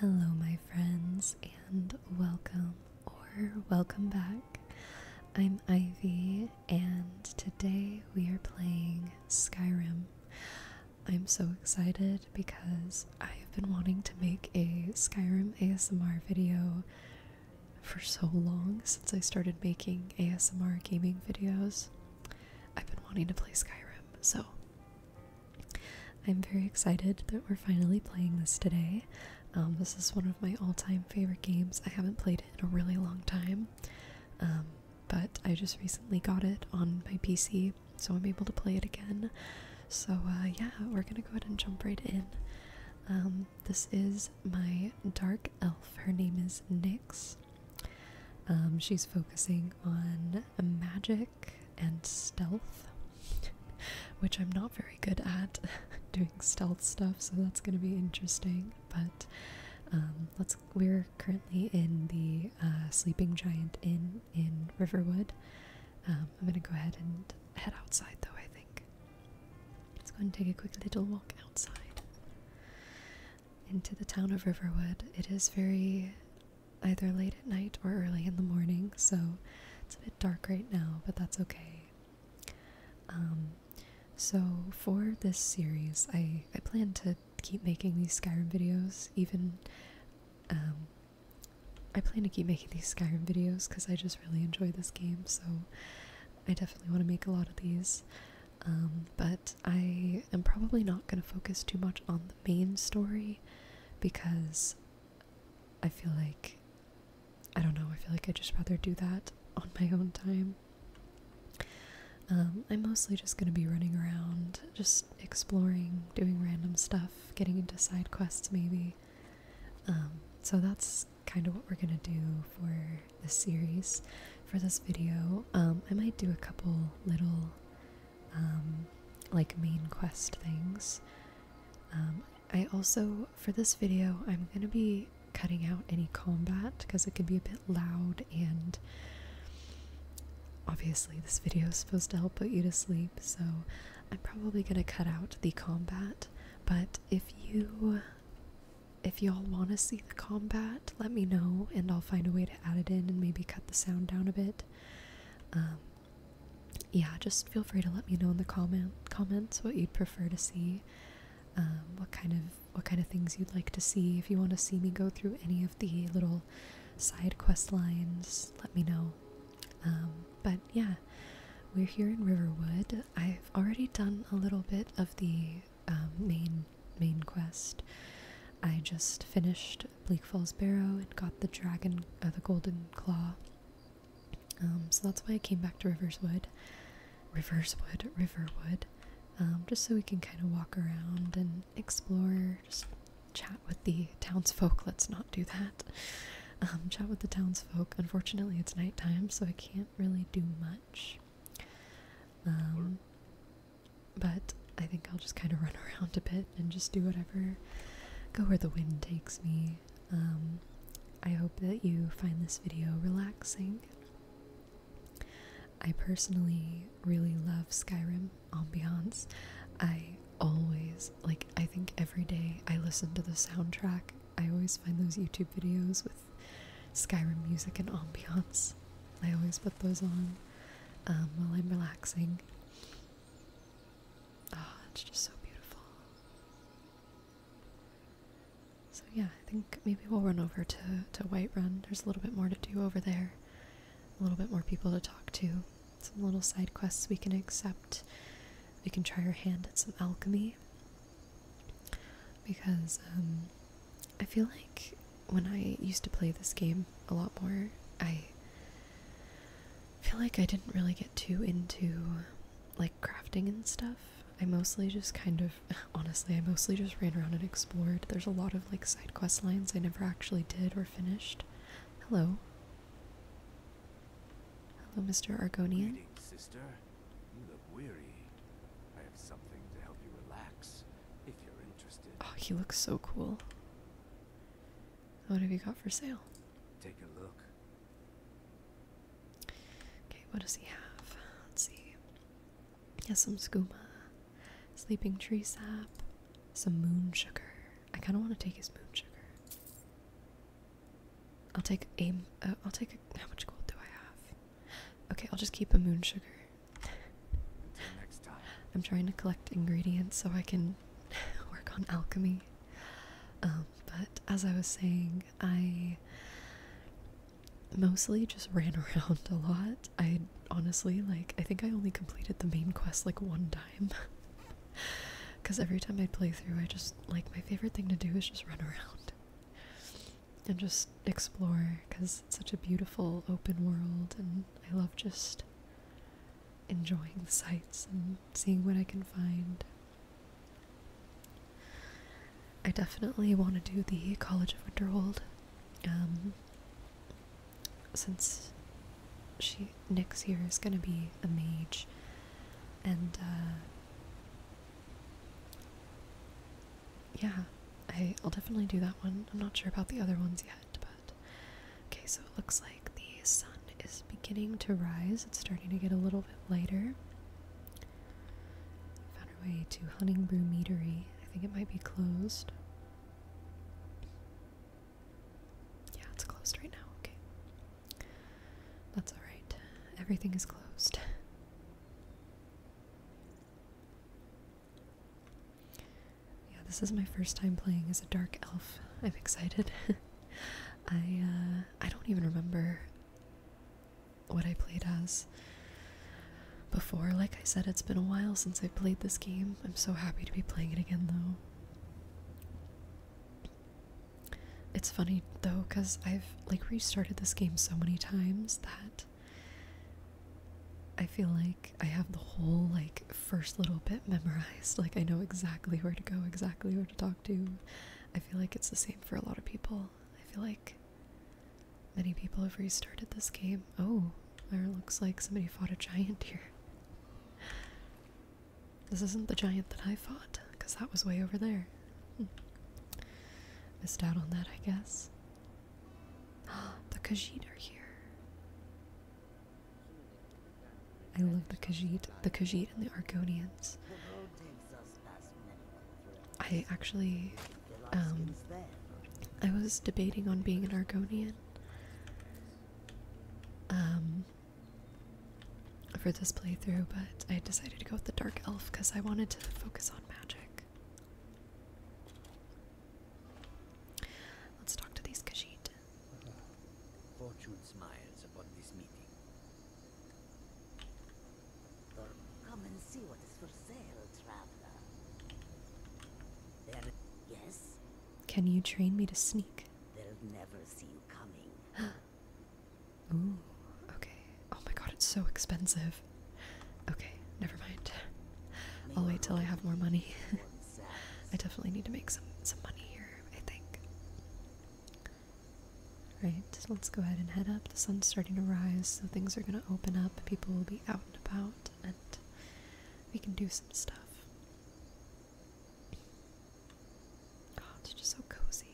Hello, my friends, and welcome or welcome back. I'm Ivy, and today we are playing Skyrim. I'm so excited because I've been wanting to make a Skyrim ASMR video for so long since I started making ASMR gaming videos. I've been wanting to play Skyrim, so I'm very excited that we're finally playing this today. Um, this is one of my all time favorite games. I haven't played it in a really long time, um, but I just recently got it on my PC, so I'm able to play it again. So, uh, yeah, we're gonna go ahead and jump right in. Um, this is my dark elf. Her name is Nix. she's focusing on magic and stealth, which I'm not very good at doing stealth stuff, so that's going to be interesting. But um, let's we're currently in the uh, Sleeping Giant Inn in Riverwood. Um, I'm going to go ahead and head outside, though. I think let's go and take a quick little walk outside into the town of Riverwood. It is very either late at night or early in the morning, so it's a bit dark right now, but that's okay. Um, so for this series, I, I plan to keep making these Skyrim videos, even, um, I plan to keep making these Skyrim videos because I just really enjoy this game, so I definitely want to make a lot of these. Um, but I am probably not going to focus too much on the main story because I feel like I don't know, I feel like I'd just rather do that on my own time. Um, I'm mostly just going to be running around, just exploring, doing random stuff, getting into side quests maybe. Um, so that's kind of what we're going to do for this series, for this video. Um, I might do a couple little um, like main quest things. Um, I also, for this video, I'm going to be cutting out any combat because it can be a bit loud and obviously this video is supposed to help put you to sleep so I'm probably going to cut out the combat but if you if y'all want to see the combat let me know and I'll find a way to add it in and maybe cut the sound down a bit um, yeah, just feel free to let me know in the comment comments what you'd prefer to see, um, what kind of what kind of things you'd like to see. If you want to see me go through any of the little side quest lines, let me know. Um, but yeah, we're here in Riverwood. I've already done a little bit of the um, main main quest. I just finished Bleak Falls Barrow and got the dragon, uh, the golden claw. Um, so that's why I came back to Riverswood, Riverswood, Riverwood, um, just so we can kind of walk around and explore, just chat with the townsfolk. Let's not do that. Um, chat with the townsfolk. Unfortunately, it's night time, so I can't really do much but I think I'll just kind of run around a bit and just do whatever, go where the wind takes me. Um, I hope that you find this video relaxing. I personally really love Skyrim ambiance. I always, like, I think every day I listen to the soundtrack. I always find those YouTube videos with Skyrim music and ambiance. I always put those on um, while I'm relaxing. Ah, it's just so beautiful. So yeah, I think maybe we'll run over to, to Whiterun. There's a little bit more to do over there. A little bit more people to talk to. Some little side quests we can accept. We can try our hand at some alchemy. Because um, I feel like when I used to play this game a lot more, I I feel like I didn't really get too into like crafting and stuff. I mostly just kind of, honestly, I mostly just ran around and explored. There's a lot of like side quest lines I never actually did or finished. Hello. Hello, Mr. Argonian. Greetings, sister. You look weary. I have something to help you relax if you're interested. Oh, he looks so cool. What have you got for sale? Take a look. Okay, what does he have? Let's see. He some skooma, sleeping tree sap, some moon sugar. I kind of want to take his moon sugar. I'll take a. will uh, take how much gold do I have? Okay, I'll just keep a moon sugar. Next time. I'm trying to collect ingredients so I can work on alchemy. Um, but as I was saying, I mostly just ran around a lot. I honestly like I think I only completed the main quest like one time. Cause every time I play through I just like my favorite thing to do is just run around and just explore because it's such a beautiful open world and I love just enjoying the sights and seeing what I can find. I definitely want to do the College of Winterhold, um, since she next year is gonna be a mage, and uh, yeah, I, I'll definitely do that one. I'm not sure about the other ones yet but okay, so it looks like the sun is beginning to rise. It's starting to get a little bit lighter. Found our way to Hunting Brew Meadery. I think it might be closed. Yeah, it's closed right now. Okay. That's alright. Everything is closed. Yeah, this is my first time playing as a dark elf. I'm excited. I uh, I don't even remember what I played as before. Like I said, it's been a while since I played this game. I'm so happy to be playing it again, though. It's funny though, cause I've like restarted this game so many times that I feel like I have the whole like first little bit memorized. Like, I know exactly where to go, exactly where to talk to. I feel like it's the same for a lot of people. I feel like many people have restarted this game. Oh, there looks like somebody fought a giant here. This isn't the giant that I fought, because that was way over there. Hmm. Missed out on that, I guess. the Khajiit are here. I love the Khajiit, the Khajiit and the Argonians. I actually, um, I was debating on being an Argonian, um, for this playthrough, but I decided to go with the Dark Elf because I wanted to focus on magic. Let's talk to these Khajiit. Fortune smiles upon this meeting. Come and see what is for sale, traveler. yes? Can you train me to sneak? They'll never see you coming. Ooh, okay. Oh my god, it's so expensive. Okay, never mind. I'll wait till I have more money. I definitely need to make some some money here, I think. Right, so let's go ahead and head up. The sun's starting to rise, so things are gonna open up, people will be out and about, and we can do some stuff. it's just so cozy.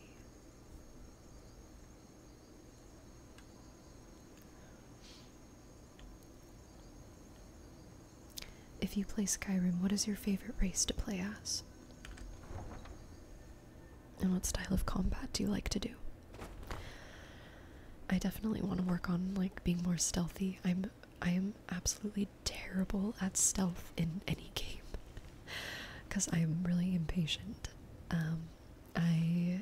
If you play Skyrim, what is your favorite race to play as? And what style of combat do you like to do? I definitely want to work on like being more stealthy. I'm I am absolutely terrible at stealth in any game because I am really impatient. Um, I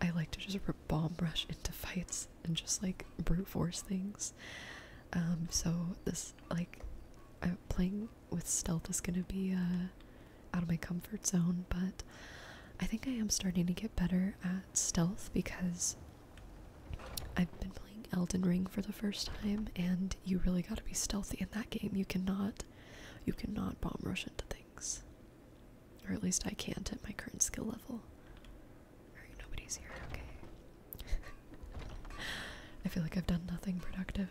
I like to just bomb rush into fights and just like brute force things. Um, so this like playing with stealth is gonna be uh, out of my comfort zone, but I think I am starting to get better at stealth because I've been playing Elden Ring for the first time and you really gotta be stealthy in that game. You cannot you cannot bomb rush into things. Or at least I can't at my current skill level nobody's here, okay. I feel like I've done nothing productive.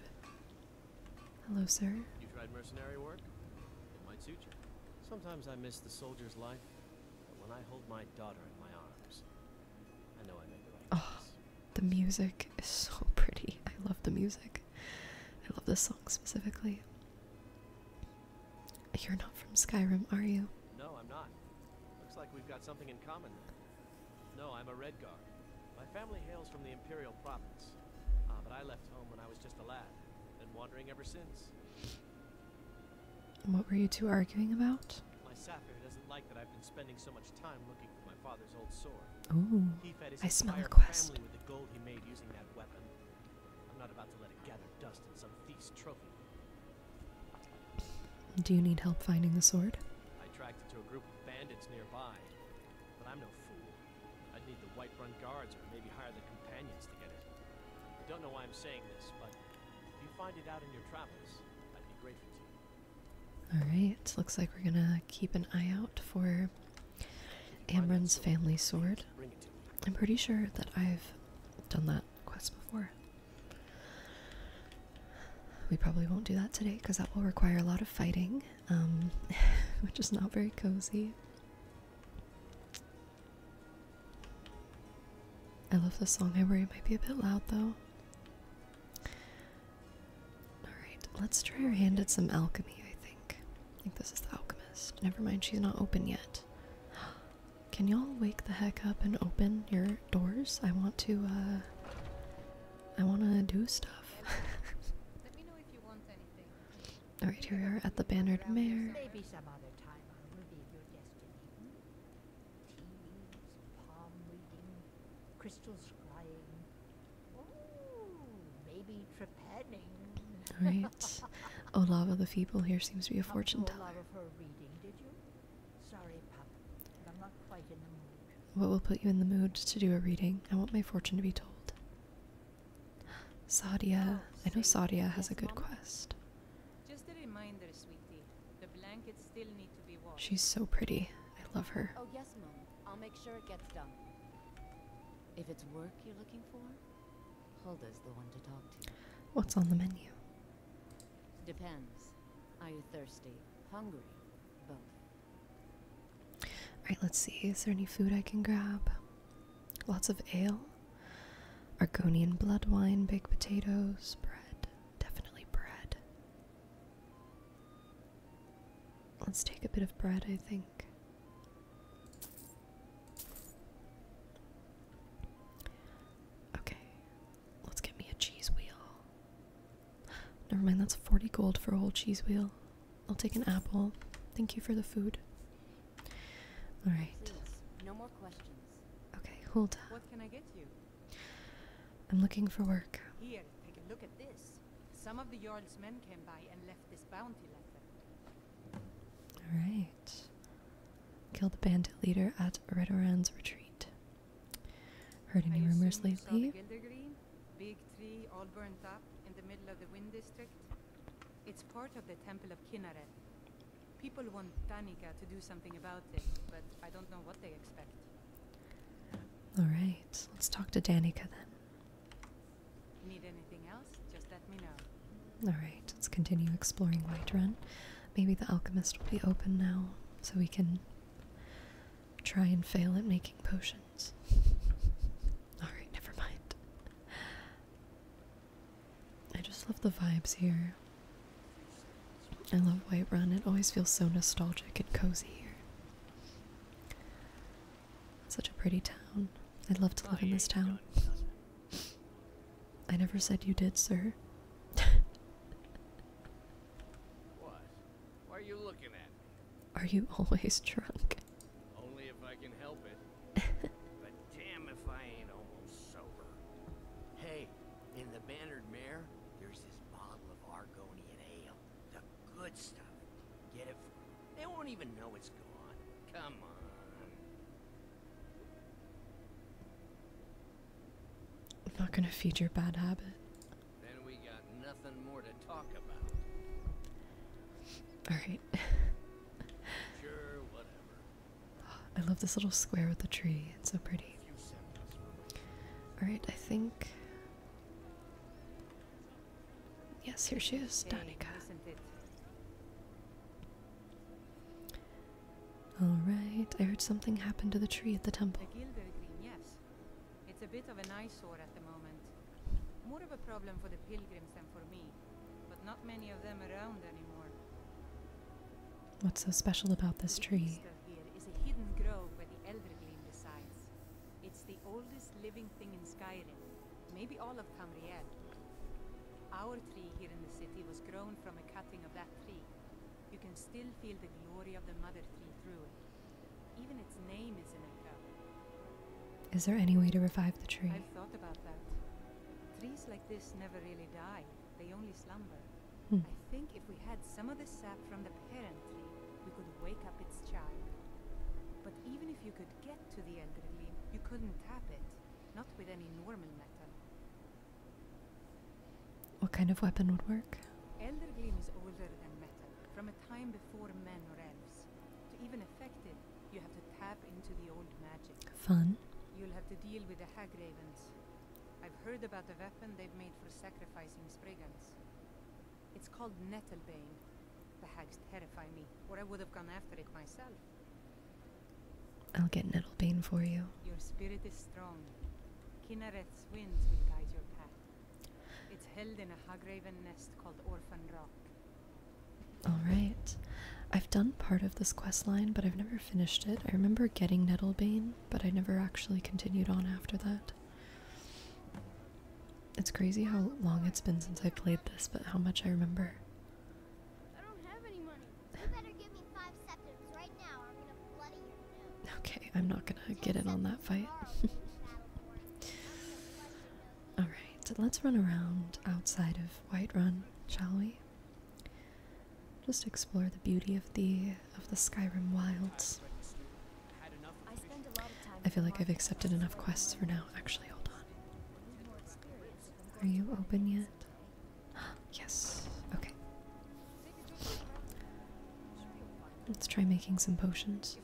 Hello, sir. You have tried mercenary work? It might suit you. Sometimes I miss the soldier's life, but when I hold my daughter in my arms, I know I am the Oh, the music is so pretty. I love the music. I love this song specifically. You're not from Skyrim, are you? No, I'm not. Looks like we've got something in common then. No, I'm a Redguard. My family hails from the Imperial province. Ah, but I left home when I was just a lad. Been wandering ever since. what were you two arguing about? My sapphire doesn't like that I've been spending so much time looking for my father's old sword. Ooh, I smell a quest. Do you need help finding the sword? I tracked it to a group of bandits nearby, but I'm no fool. I'd need the Whiterun guards or maybe hire the companions to get it. I don't know why I'm saying this, but if you find it out in your travels, I'd be grateful to you. Alright, looks like we're gonna keep an eye out for Amron's family sword. I'm pretty sure that I've done that quest before. We probably won't do that today because that will require a lot of fighting, um, which is not very cozy. I love this song. I worry it might be a bit loud though. Alright, let's try our hand at some alchemy, I think. I think this is the alchemist. Never mind, she's not open yet. Can y'all wake the heck up and open your doors? I want to, uh. I want to do stuff. Alright, here we are at the Bannered Mare. Maybe Olava hmm? the Feeble here seems to be a fortune teller. What will put you in the mood to do a reading? I want my fortune to be told. Sadia. Oh, I know Sadia has a good quest. She's so pretty. I love her. Oh yes, Mom. I'll make sure it gets done. If it's work you're looking for, Hulda's the one to talk to. What's on the menu? Depends. Are you thirsty? Hungry? Both. Alright, let's see. Is there any food I can grab? Lots of ale. Argonian blood wine, baked potatoes, bread. Definitely bread. Let's take a bit of bread, I think. Okay, Let's get me a cheese wheel. Never mind, that's 40 gold for a whole cheese wheel. I'll take an apple. Thank you for the food. Alright. No more questions. Okay, hold on. What can I get you? I'm looking for work. take a look at this. Some of the Jarl's men came by and left this bounty Alright. Kill the bandit leader at Redoran's retreat. Heard any rumors lately? in the middle of the wind district. It's part of the Temple of Kinneret. People want Danica to do something about it, but I don't know what they expect. Alright, let's talk to Danica then. Need anything else? Just let me know. Alright, let's continue exploring Whiterun. Maybe the alchemist will be open now, so we can try and fail at making potions. Alright, never mind. I just love the vibes here. I love Whiterun, it always feels so nostalgic and cozy here. such a pretty town. I'd love to live in this town. I never said you did, sir. Why are you looking at me? Are you always drunk? Only if I can help it. but damn if I ain't almost sober. Hey, in the Bannard Mare, there's this bottle of Argonian ale. The good stuff. Get it for They won't even know it's gone. Come on. I'm not gonna feed your bad habit. Then we got nothing more to talk about. Alright. I love this little square with the tree. It's so pretty. Alright, I think. Yes, here she is, Danica. Alright, I heard something happened to the tree at the temple. The Gilder yes. It's a bit of an eyesore at the moment. More of a problem for the pilgrims than for me, but not many of them around anymore. What's so special about this tree? Here is a hidden grove where the Elder Gleam resides. It's the oldest living thing in Skyrim, maybe all of Tamriel. Our tree here in the city was grown from a cutting of that tree, you can still feel the glory of the Mother Tree through it. Even its name is an echo. there any way to revive the tree? I've thought about that. Trees like this never really die, they only slumber. Hmm. I think if we had some of the sap from the parent tree, we could wake up its child. But even if you could get to the Elder Tree, you couldn't tap it. Not with any normal metal. What kind of weapon would work? from a time before men or elves. To even affect you have to tap into the old magic. Fun. You'll have to deal with the hag ravens. I've heard about a weapon they've made for sacrificing Spriggans. It's called Nettlebane. The hags terrify me, or I would have gone after it myself. I'll get Nettlebane for you. Your spirit is strong its held in a Hagraven nest called Orphan Rock. Alright. I've done part of this quest line, but I've never finished it. I remember getting Nettlebane, but I never actually continued on after that. It's crazy how long it's been since I played this, but how much I remember right now are gonna Okay, I'm not gonna get in on that fight. Alright, let's run around outside of Whiterun, shall we? Just explore the beauty of the of the Skyrim wilds. I feel like I've accepted enough quests for now. Actually, hold on. Are you open yet? Yes. Okay. Let's try making some potions.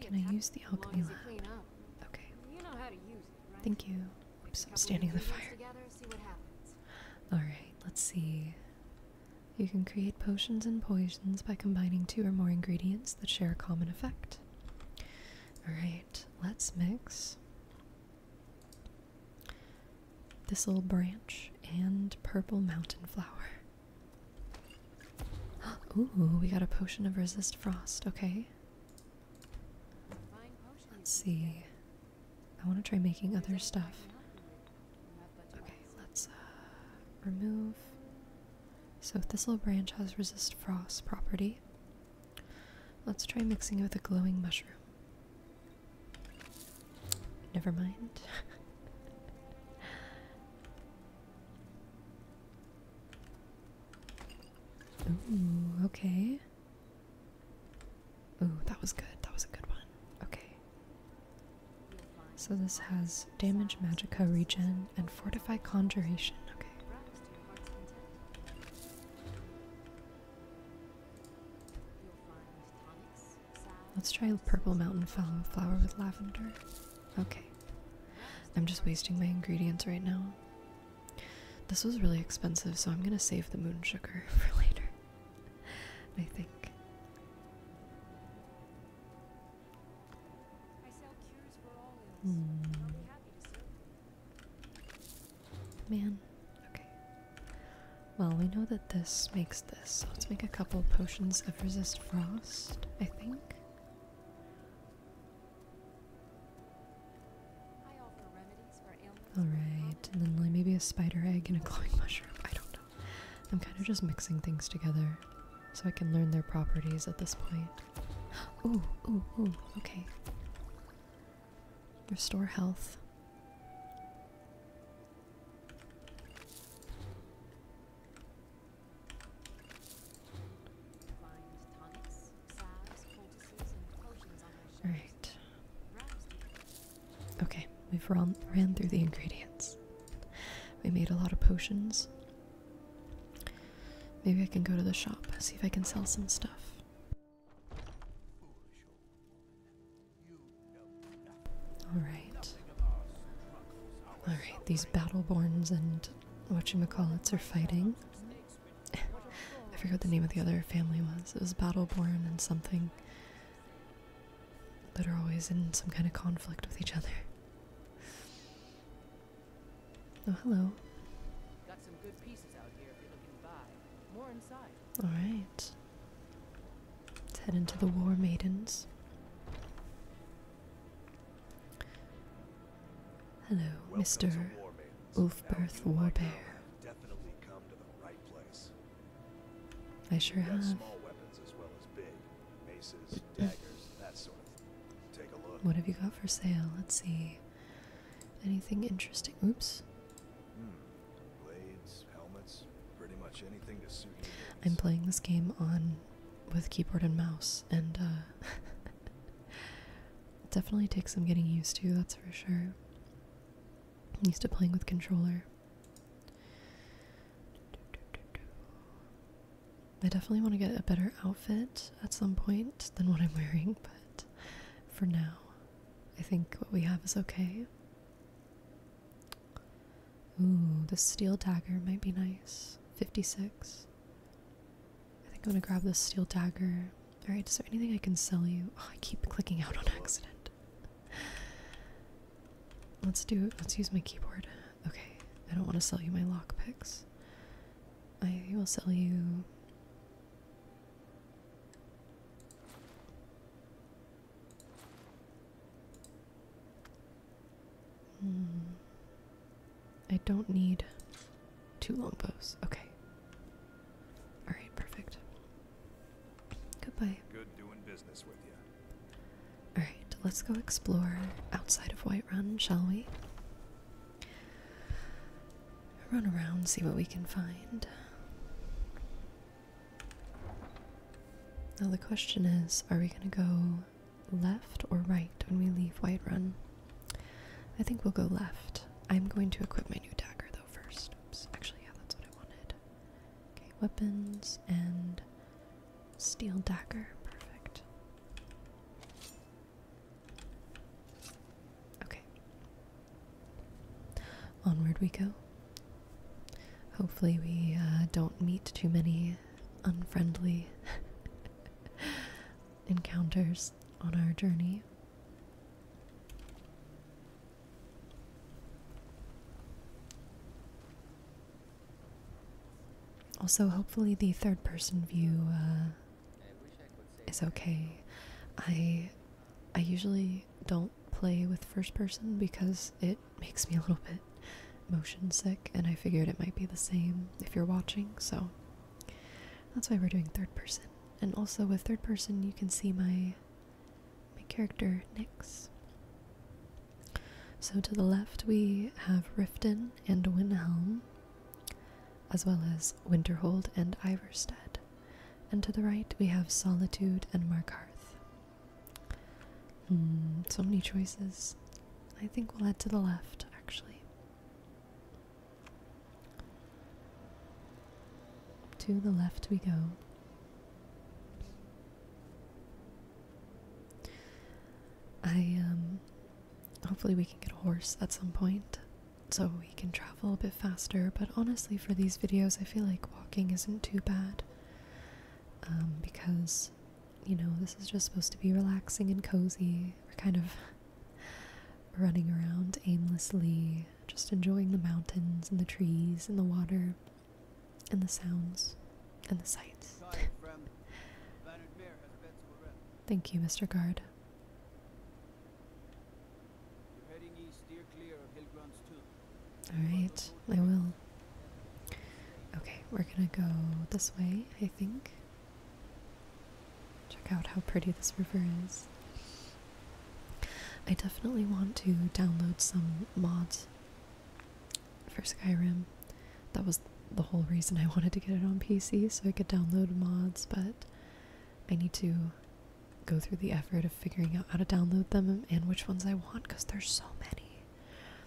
Can I use the alchemy lab? Okay. Thank you. Oops, I'm standing in the fire. Alright, let's see. You can create potions and poisons by combining two or more ingredients that share a common effect. Alright, let's mix. Thistle branch and purple mountain flower. Ooh, we got a potion of resist frost. Okay. Let's see. I want to try making other stuff. Okay, let's uh, remove. So thistle branch has resist frost property. Let's try mixing it with a glowing mushroom. Never mind. okay. Ooh, that was good. That was a good one. Okay. So this has damage, magicka, regen, and fortify conjuration. Okay. Let's try purple mountain flower with lavender. Okay. I'm just wasting my ingredients right now. This was really expensive, so I'm gonna save the moon sugar for later. I think. Man, okay. Well, we know that this makes this, so let's make a couple potions of resist frost, I think. Alright, and then like maybe a spider egg and a glowing mushroom. I don't know. I'm kind of just mixing things together so I can learn their properties at this point. Ooh, ooh, ooh, okay. Restore health. All right. Okay, we've run, ran through the ingredients. We made a lot of potions. Maybe I can go to the shop, see if I can sell some stuff. Alright. Alright, these Battleborns and what you call whatchamacallits are fighting. I forget what the name of the other family was. It was Battleborn and something that are always in some kind of conflict with each other. Oh, hello. Got some good pieces out here if you're looking by. All right. Let's head into the War Maidens. Hello, Mr. Ulfberth Warbear. Definitely come I sure have weapons as well as big. Maces, mm. daggers, that sort of Take a look. What have you got for sale? Let's see. Anything interesting? Oops. Hmm. pretty much anything to suit you. I'm playing this game on with keyboard and mouse, and uh, definitely takes some getting used to. That's for sure. I'm used to playing with controller. I definitely want to get a better outfit at some point than what I'm wearing, but for now, I think what we have is okay. Ooh, the steel dagger might be nice. 56. I think I'm gonna grab the steel dagger. Alright, is there anything I can sell you? Oh, I keep clicking out on accident. Let's do it. Let's use my keyboard. Okay, I don't want to sell you my lockpicks. I will sell you. Hmm. I don't need two long bows. Okay. All right, perfect. Goodbye. All right, let's go explore outside of Whiterun, shall we? run around, see what we can find. Now, the question is are we going to go left or right when we leave Whiterun? I think we'll go left. I'm going to equip my new dagger though first. Oops, actually, yeah, that's what I wanted. Okay, weapons and steel dagger. Perfect. Okay, Onward we go. Hopefully, we uh, don't meet too many unfriendly encounters on our journey. Also, hopefully, the third person view uh, is okay. I I usually don't play with first person because it makes me a little bit motion sick, and I figured it might be the same if you're watching, so that's why we're doing third person. And also with third person, you can see my my character Nyx. So to the left we have Riften and Windhelm, as well as Winterhold and Iverstead and to the right we have Solitude and Markarth. Mm, so many choices. I think we'll head to the left, actually. To the left we go. I, um, hopefully we can get a horse at some point so we can travel a bit faster. But honestly, for these videos, I feel like walking isn't too bad um, because you know, this is just supposed to be relaxing and cozy. We're kind of running around aimlessly, just enjoying the mountains and the trees and the water and the sounds and the sights. Thank you, Mr. Guard. Alright, I will. Okay, we're gonna go this way, I think. Check out how pretty this river is. I definitely want to download some mods for Skyrim. That was the whole reason I wanted to get it on PC, so I could download mods, but I need to go through the effort of figuring out how to download them and which ones I want because there's so many.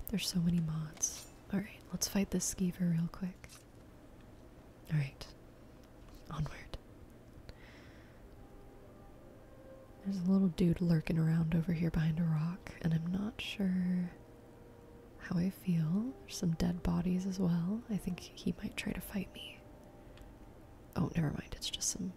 There's so many mods. Alright, let's fight this skeever real quick. Alright. Onward. There's a little dude lurking around over here behind a rock, and I'm not sure how I feel. There's some dead bodies as well. I think he might try to fight me. Oh, never mind. It's just some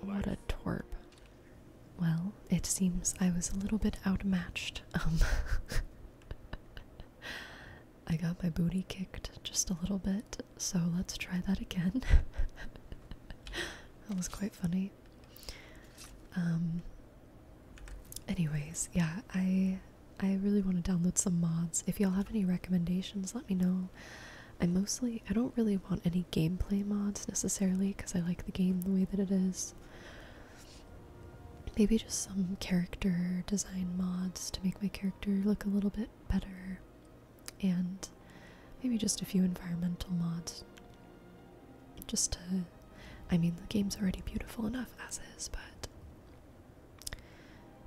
What a torp. Well, it seems I was a little bit outmatched. Um, I got my booty kicked just a little bit, so let's try that again. that was quite funny. Um, anyways, yeah, I I really want to download some mods. If y'all have any recommendations, let me know. I mostly I don't really want any gameplay mods necessarily because I like the game the way that it is. Maybe just some character design mods to make my character look a little bit better. And maybe just a few environmental mods. Just to I mean the game's already beautiful enough as is, but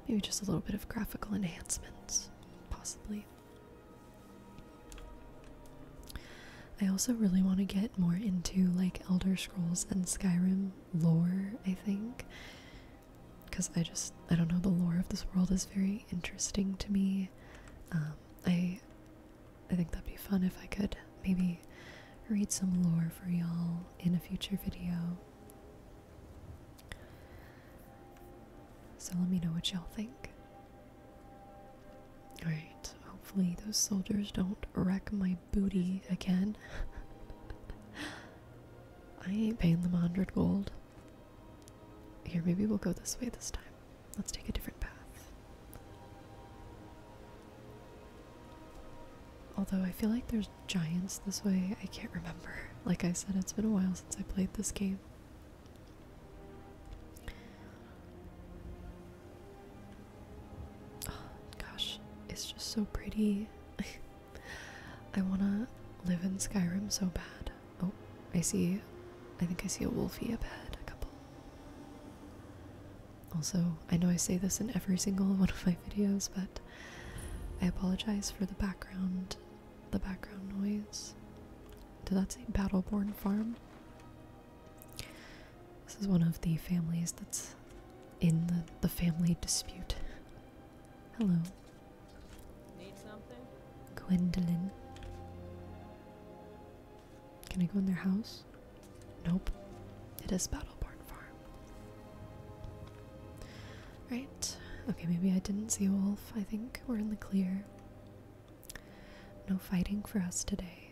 Maybe just a little bit of graphical enhancements, possibly. I also really want to get more into like Elder Scrolls and Skyrim lore, I think. Because I just, I don't know, the lore of this world is very interesting to me. Um, I, I think that'd be fun if I could maybe read some lore for y'all in a future video. So let me know what y'all think. Alright, hopefully those soldiers don't wreck my booty again. I ain't paying them a hundred gold. Here, maybe we'll go this way this time. Let's take a different path. Although I feel like there's giants this way, I can't remember. Like I said, it's been a while since I played this game. Oh, gosh, it's just so pretty. I wanna live in Skyrim so bad. Oh, I see. I think I see a wolfie up ahead, a couple. Also, I know I say this in every single one of my videos, but I apologize for the background the background noise. Did that say Battleborn Farm? This is one of the families that's in the, the family dispute. Hello. Need something? Gwendolyn. Can I go in their house? Nope. It is Battleborn Farm. Right. Okay, maybe I didn't see a wolf, I think. We're in the clear. No fighting for us today.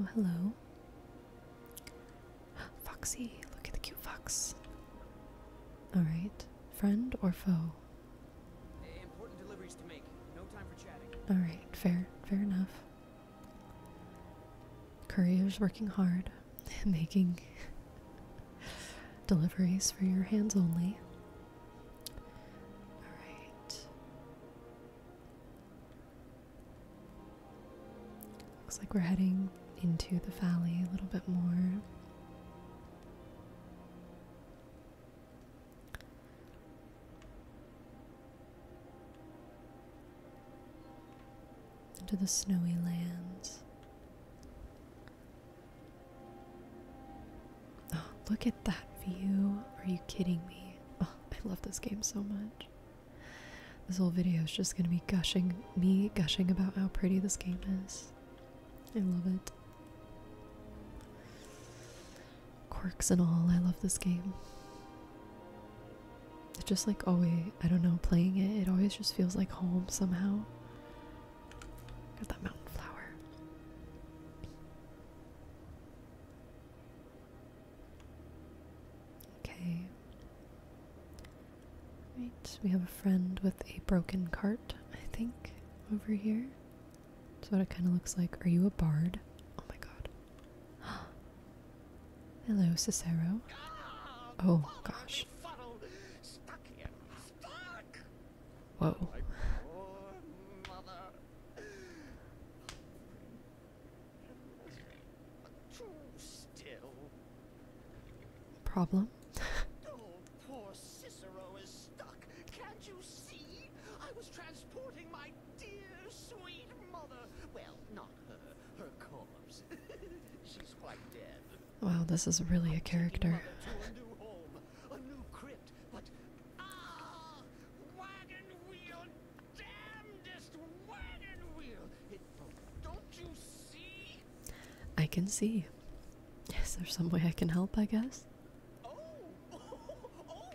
Oh, hello. Foxy, look at the cute fox. Alright, friend or foe? Alright, fair, fair enough. Courier's working hard. making deliveries for your hands only. Alright. Looks like we're heading into the valley a little bit more. Into the snowy lands. Oh, look at that view. Are you kidding me? Oh, I love this game so much. This whole video is just gonna be gushing, me gushing about how pretty this game is. I love it. Quirks and all, I love this game. It's just like always, I don't know, playing it, it always just feels like home somehow. Got that mountain flower. Okay. we have a friend with a broken cart, I think, over here. That's what it kind of looks like. Are you a bard? Oh my god. Hello, Cicero. Oh gosh. Whoa. Problem. oh, poor Cicero is stuck. Can't you see? I was transporting my dear, sweet mother. Well, not her, her corpse. Wow, this is really a character. Ah, I can see. Is there some way I can help? I guess. Oh, oh,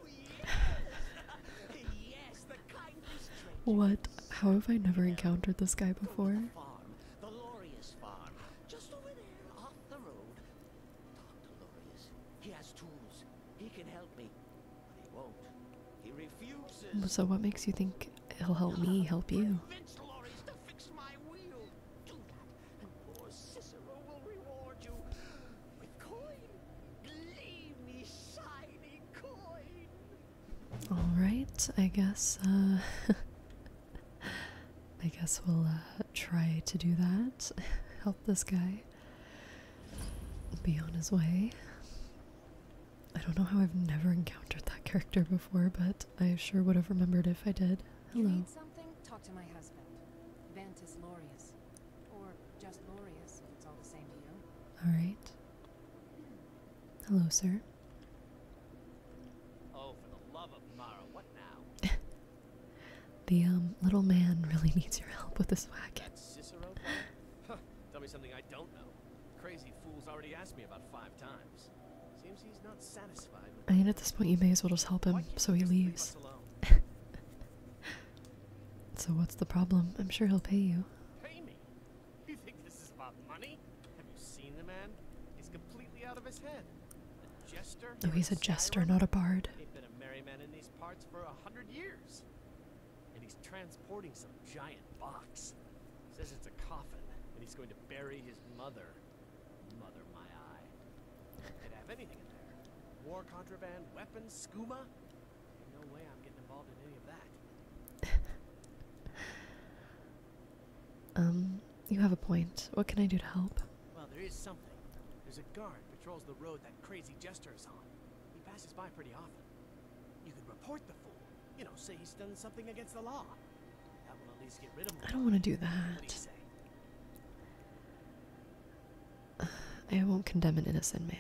what? How have I never encountered this guy before? The Laureus farm, just over there, off the road. Talk He has tools. He can help me. But he won't. He So what makes you think he'll help me help you? All right, I guess. Uh, I guess we'll uh, try to do that. Help this guy be on his way. I don't know how I've never encountered that character before, but I sure would have remembered if I did. Hello. Alright. Hello, sir. Oh, for the love of Mara, what now? the um, little man really needs your help with this wagon. Cicero? tell me something I don't know. Crazy fool's already asked me about five times. Seems he's not satisfied with I mean, at this point, you may as well just help him so he leaves. so what's the problem? I'm sure he'll pay you about money? Have you seen the man? He's completely out of his head. No, he's a jester, not a bard. He's been a merry man in these parts for a hundred years. And he's transporting some giant box. Says it's a coffin, and he's going to bury his mother. Mother, my eye. Could have anything in there. War contraband, weapons, skooma. No way I'm getting involved in any of that. Um, you have a point. What can I do to help? Well, there is something. There's a guard patrols the road that crazy jester is on. He passes by pretty often. You could report the fool. You know, say he's done something against the law. I don't want to do that. I won't condemn an innocent man.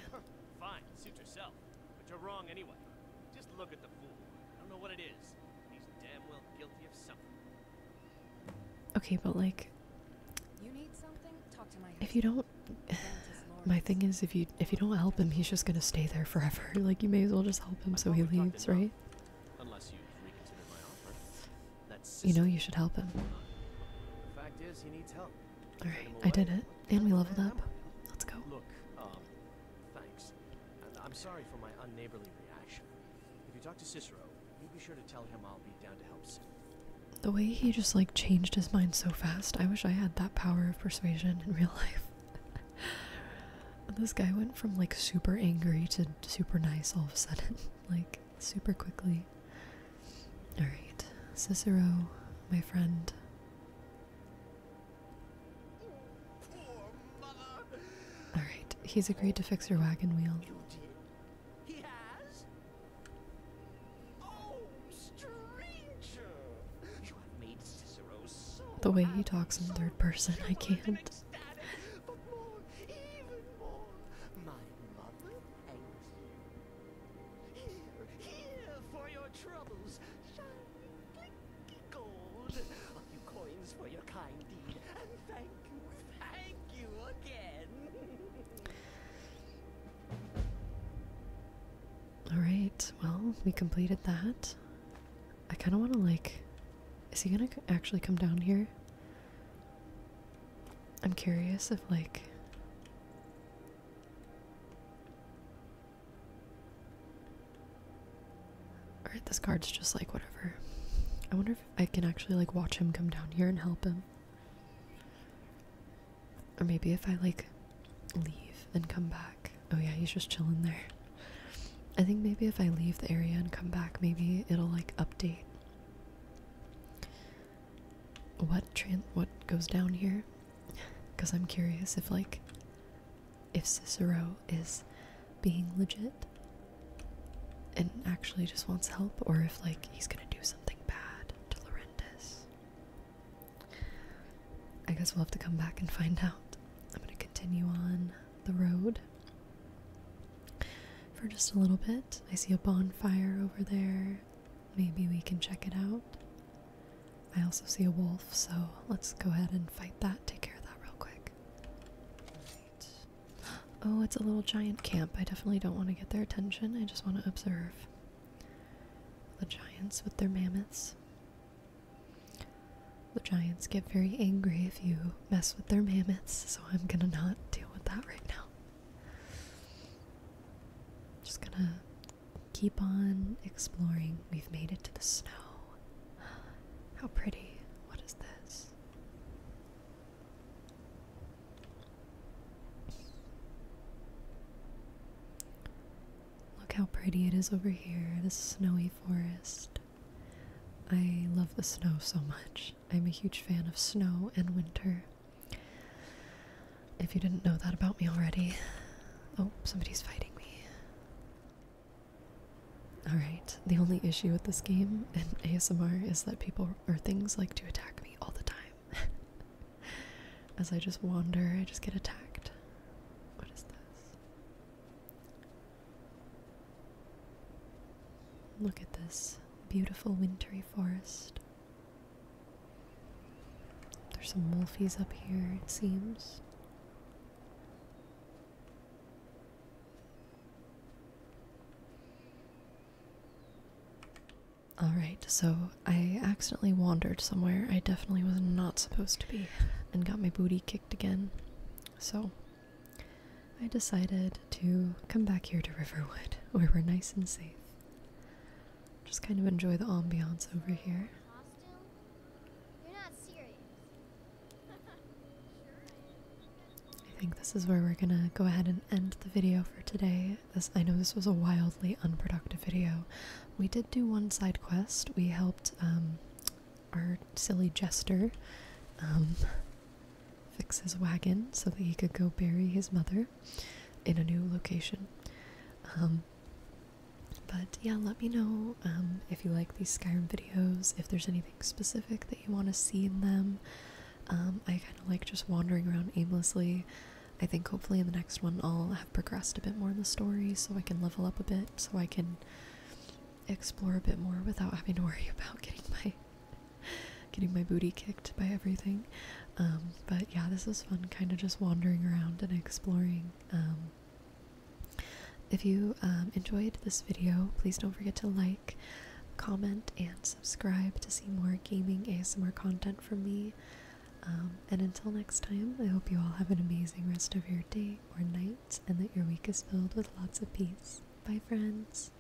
Fine, suit yourself. But you're wrong anyway. Just look at the fool. I don't know what it is. Okay, but like you need something? Talk to my If you don't my thing is if you if you don't help him, he's just gonna stay there forever. Like you may as well just help him so he leaves, right? Unless you reconsider my offer. That's You know you should help him. Fact is he needs help. Alright, I did it. And we leveled up. Let's go. Um, thanks. I'm sorry for my unneighborly reaction. If you talk to Cicero, you be sure to tell him I'll be down to help soon. The way he just like changed his mind so fast, I wish I had that power of persuasion in real life. this guy went from like super angry to super nice all of a sudden, like super quickly. Alright, Cicero, my friend. Alright, he's agreed to fix your wagon wheel. He has? Oh, the way he talks in third person, I can't. But more, even more, my mother thanks you. Here, here for your troubles. All right. Well, we completed that. I kind of want to like is he going to actually come down here? I'm curious if like Alright, this card's just like whatever. I wonder if I can actually like watch him come down here and help him. Or maybe if I like leave and come back. Oh yeah, he's just chilling there. I think maybe if I leave the area and come back, maybe it'll like update what tran what goes down here. Cause I'm curious if like if Cicero is being legit and actually just wants help, or if like he's gonna do something bad to Laurentis. I guess we'll have to come back and find out. I'm gonna continue on the road for just a little bit. I see a bonfire over there. Maybe we can check it out. I also see a wolf, so let's go ahead and fight that, take care of that real quick. Oh, it's a little giant camp. I definitely don't want to get their attention. I just want to observe the giants with their mammoths. The giants get very angry if you mess with their mammoths, so I'm gonna not deal with that right now. Just gonna keep on exploring. We've made it to the snow. How pretty. What is this? Look how pretty it is over here, this snowy forest. I love the snow so much. I'm a huge fan of snow and winter. If you didn't know that about me already. Oh, somebody's fighting me. Alright, the only issue with this game and ASMR is that people or things like to attack me all the time. As I just wander, I just get attacked. What is this? Look at this beautiful wintry forest. There's some wolfies up here, it seems. Alright, so I accidentally wandered somewhere I definitely was not supposed to be and got my booty kicked again. So I decided to come back here to Riverwood where we're nice and safe. Just kind of enjoy the ambiance over here. I think this is where we're gonna go ahead and end the video for today. This I know this was a wildly unproductive video. We did do one side quest. We helped um, our silly jester um, fix his wagon so that he could go bury his mother in a new location. Um, but yeah, let me know if you like these Skyrim videos if there's anything specific that you want to see in them. Um, I kind of like just wandering around aimlessly. I think hopefully in the next one I'll have progressed a bit more in the story so I can level up a bit, so I can explore a bit more without having to worry about getting my getting my booty kicked by everything. Um, but yeah, this was fun, kind of just wandering around and exploring. Um, if you um, enjoyed this video, please don't forget to like, comment, and subscribe to see more gaming ASMR content from me. Um, and until next time, I hope you all have an amazing rest of your day or night and that your week is filled with lots of peace. Bye, friends.